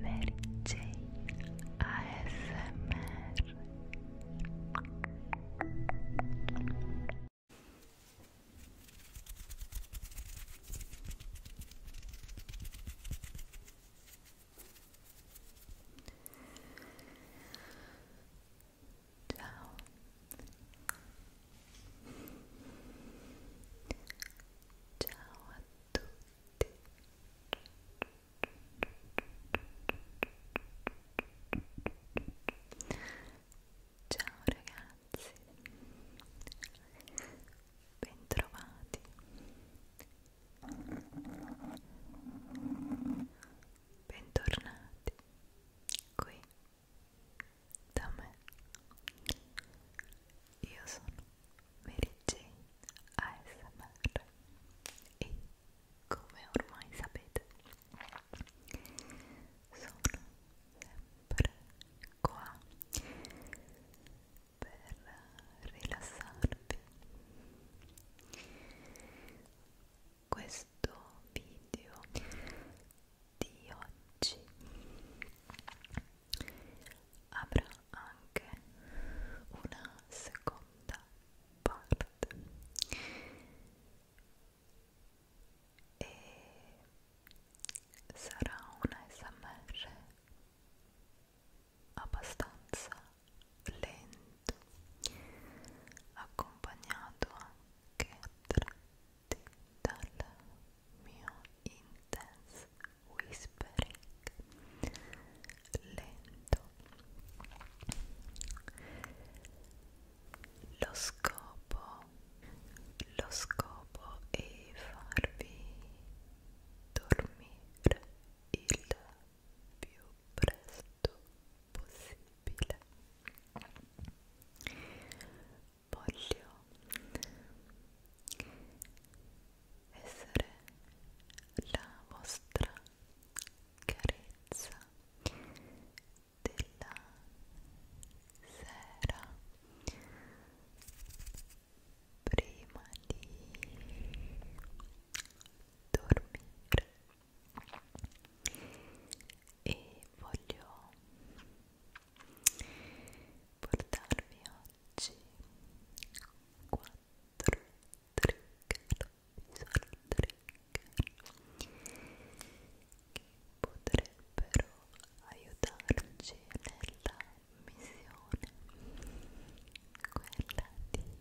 Mary Jane ASMR Ciao Ciao a tutti Ciao ragazzi, bentrovati. Bentornati qui da me. Io sono Mary Jane ASMR e come ormai sapete sono sempre qua per rilassarvi questo video di oggi avrà anche una seconda parte e sarà una smr abbastanza lento accompagnato anche a tratti dal mio intense whispering lento lo scopo lo scopo è farvi dormire il più presto possibile voglio essere la vostra carezza della sera prima di dormire e voglio portarvi oggi 4 trigger visual trigger che potrebbero aiutarci nella missione quella di dormire dormire dormire dormire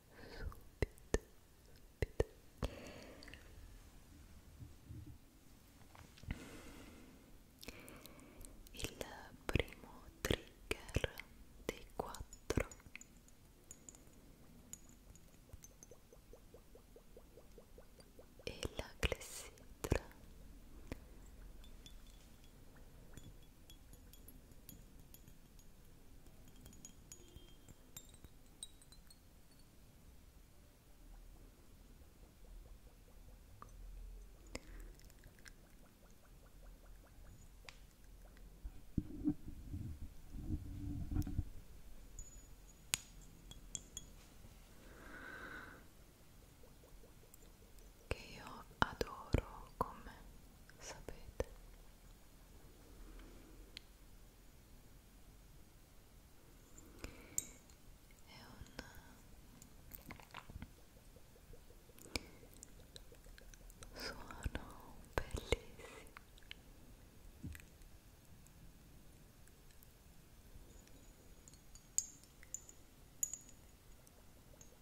subito, subito. Il primo trigger dei quattro e la clessidra che io adoro come sapete è un suono bellissimo e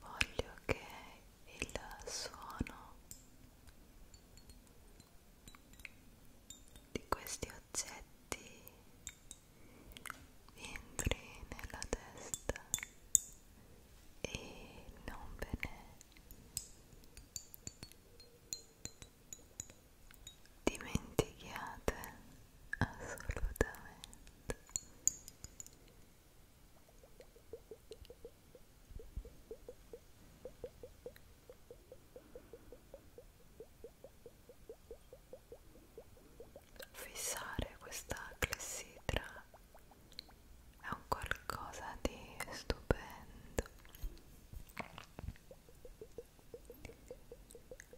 voglio che il suono di questi oggetti entri nella testa e non ve ne dimentichiate assolutamente fissare questa clessidra è un qualcosa di stupendo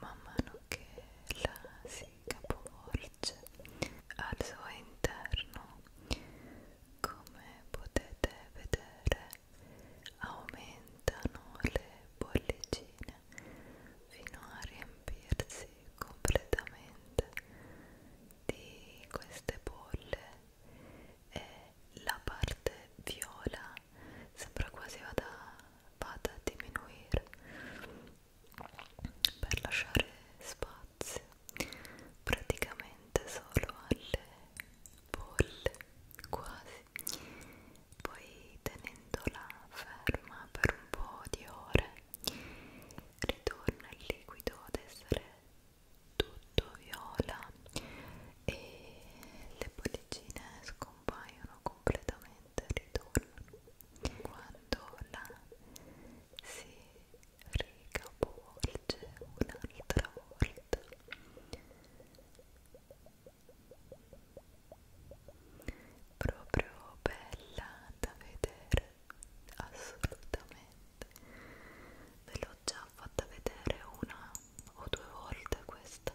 Man mano che la si capovolge al suo interno, come potete vedere, aumentano le bollicine fino a riempirsi completamente di queste bolle e eh, la parte viola sembra quasi vada, vada a diminuire per lasciare spazio praticamente solo alle bolle quasi poi tenendola ferma per un po' di ore ritorna il liquido ad essere tutto viola e le bollicine scompaiono completamente ritornano quando la si ricavolge un'altra volta proprio bella da vedere assolutamente ve lo già fatta vedere una o due volte questa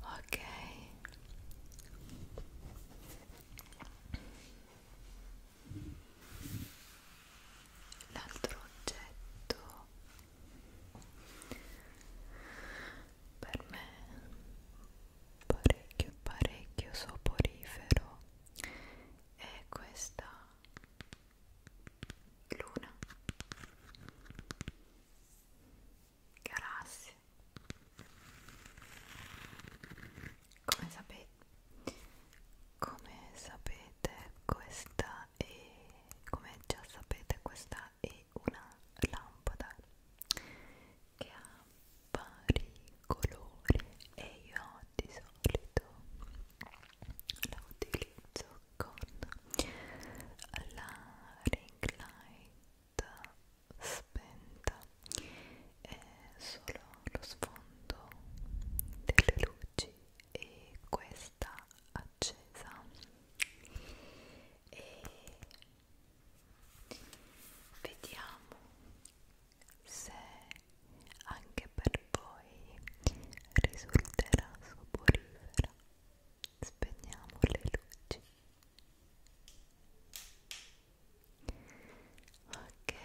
Ok. L'altro oggetto per me parecchio parecchio soporifero è questa luna, galassie. Come sapete, come sapete questa è, come già sapete questa è una lampada che ha vari colori e io di solito la utilizzo con ecco, la ring light spenta e solo lo sfondo delle luci e questa accesa e vediamo se anche per voi risulterà soporifera spegniamo le luci ok ok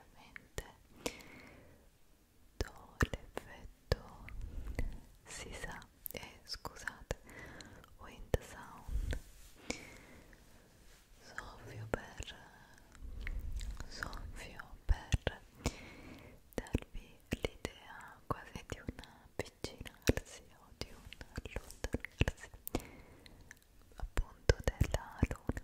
sicuramente do l'effetto si sa eh, scusate wind sound soffio per soffio per darvi l'idea quasi di un avvicinarsi o di un allontanarsi appunto della luna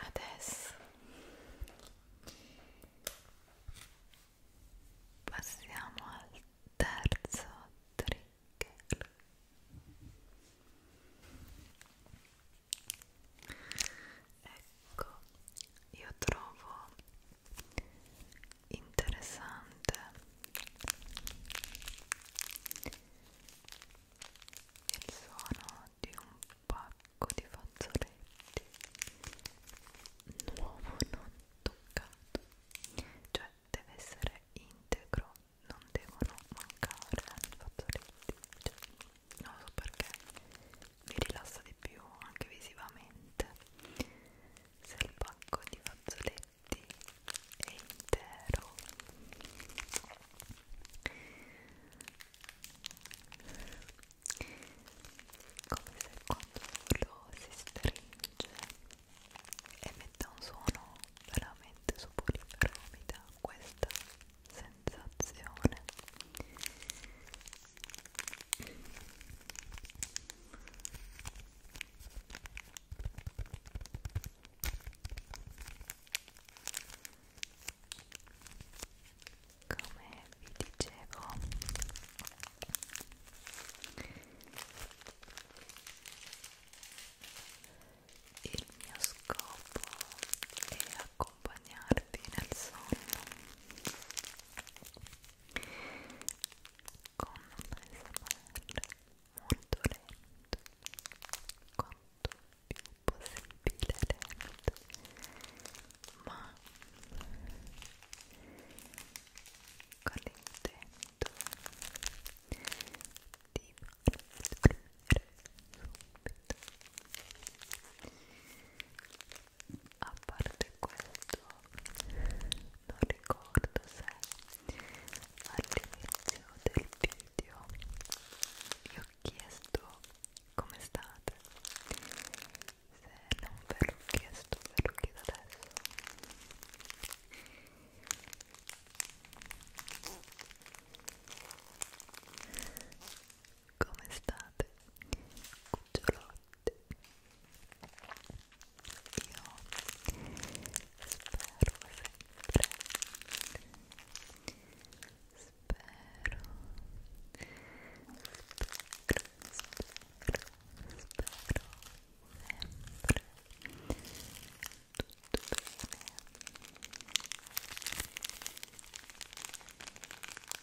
Adesso passiamo al terzo trigger ecco io trovo interessante il suono di un pacco di fazzoletti nuovo non toccato cioè deve essere integro non devono mancare fazzoletti cioè non lo so perché mi rilassa di più anche visivamente se il pacco di fazzoletti è intero come se quando lo si stringe e metta un suono veramente soporifero mi dà questa sensazione come vi dicevo il mio scopo è accompagnarvi nel sonno con un ASMR molto lento quanto più possibile lento ma con l'intento di farvi subito a parte questo non ricordo se all'inizio del video vi ho chiesto come state se non ve l'ho chiesto ve lo chiedo adesso come state? Cucciolotti io spero sempre spero spero spero spero sempre tutto bene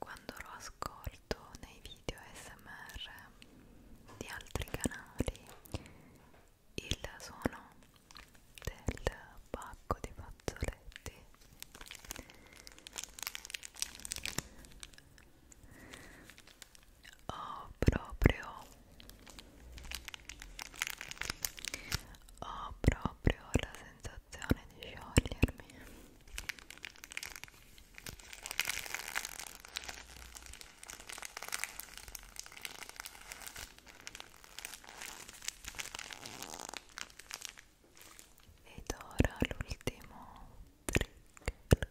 Quando lo ascolto nei video ASMR di altri canali il suono del pacco di fazzoletti ho oh, proprio ho oh, proprio la sensazione di sciogliermi ed ora l'ultimo trigger.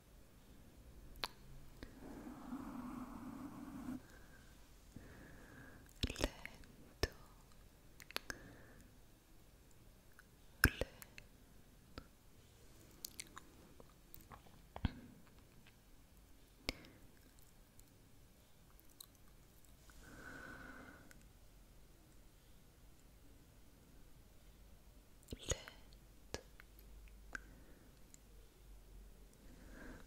lento lento lento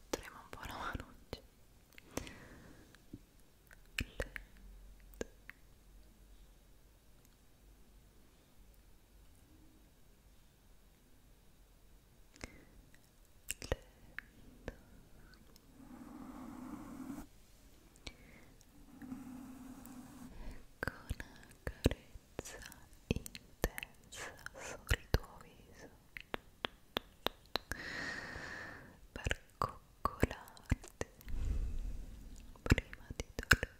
trema un po' la mano lento lento con una carezza intensa sul tuo viso per coccolarti prima di dormire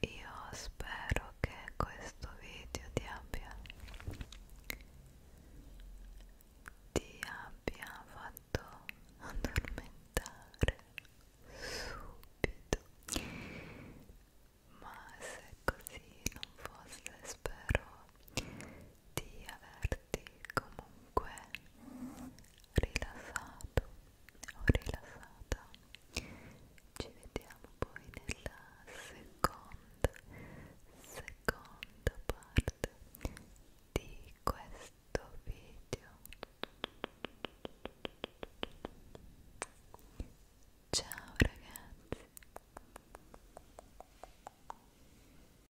Io spero che questo video ti abbia ti abbia fatto addormentare subito ma se così non fosse spero di averti comunque rilassato o rilassata ci vediamo poi nella seconda seconda parte di questo video ciao ragazzi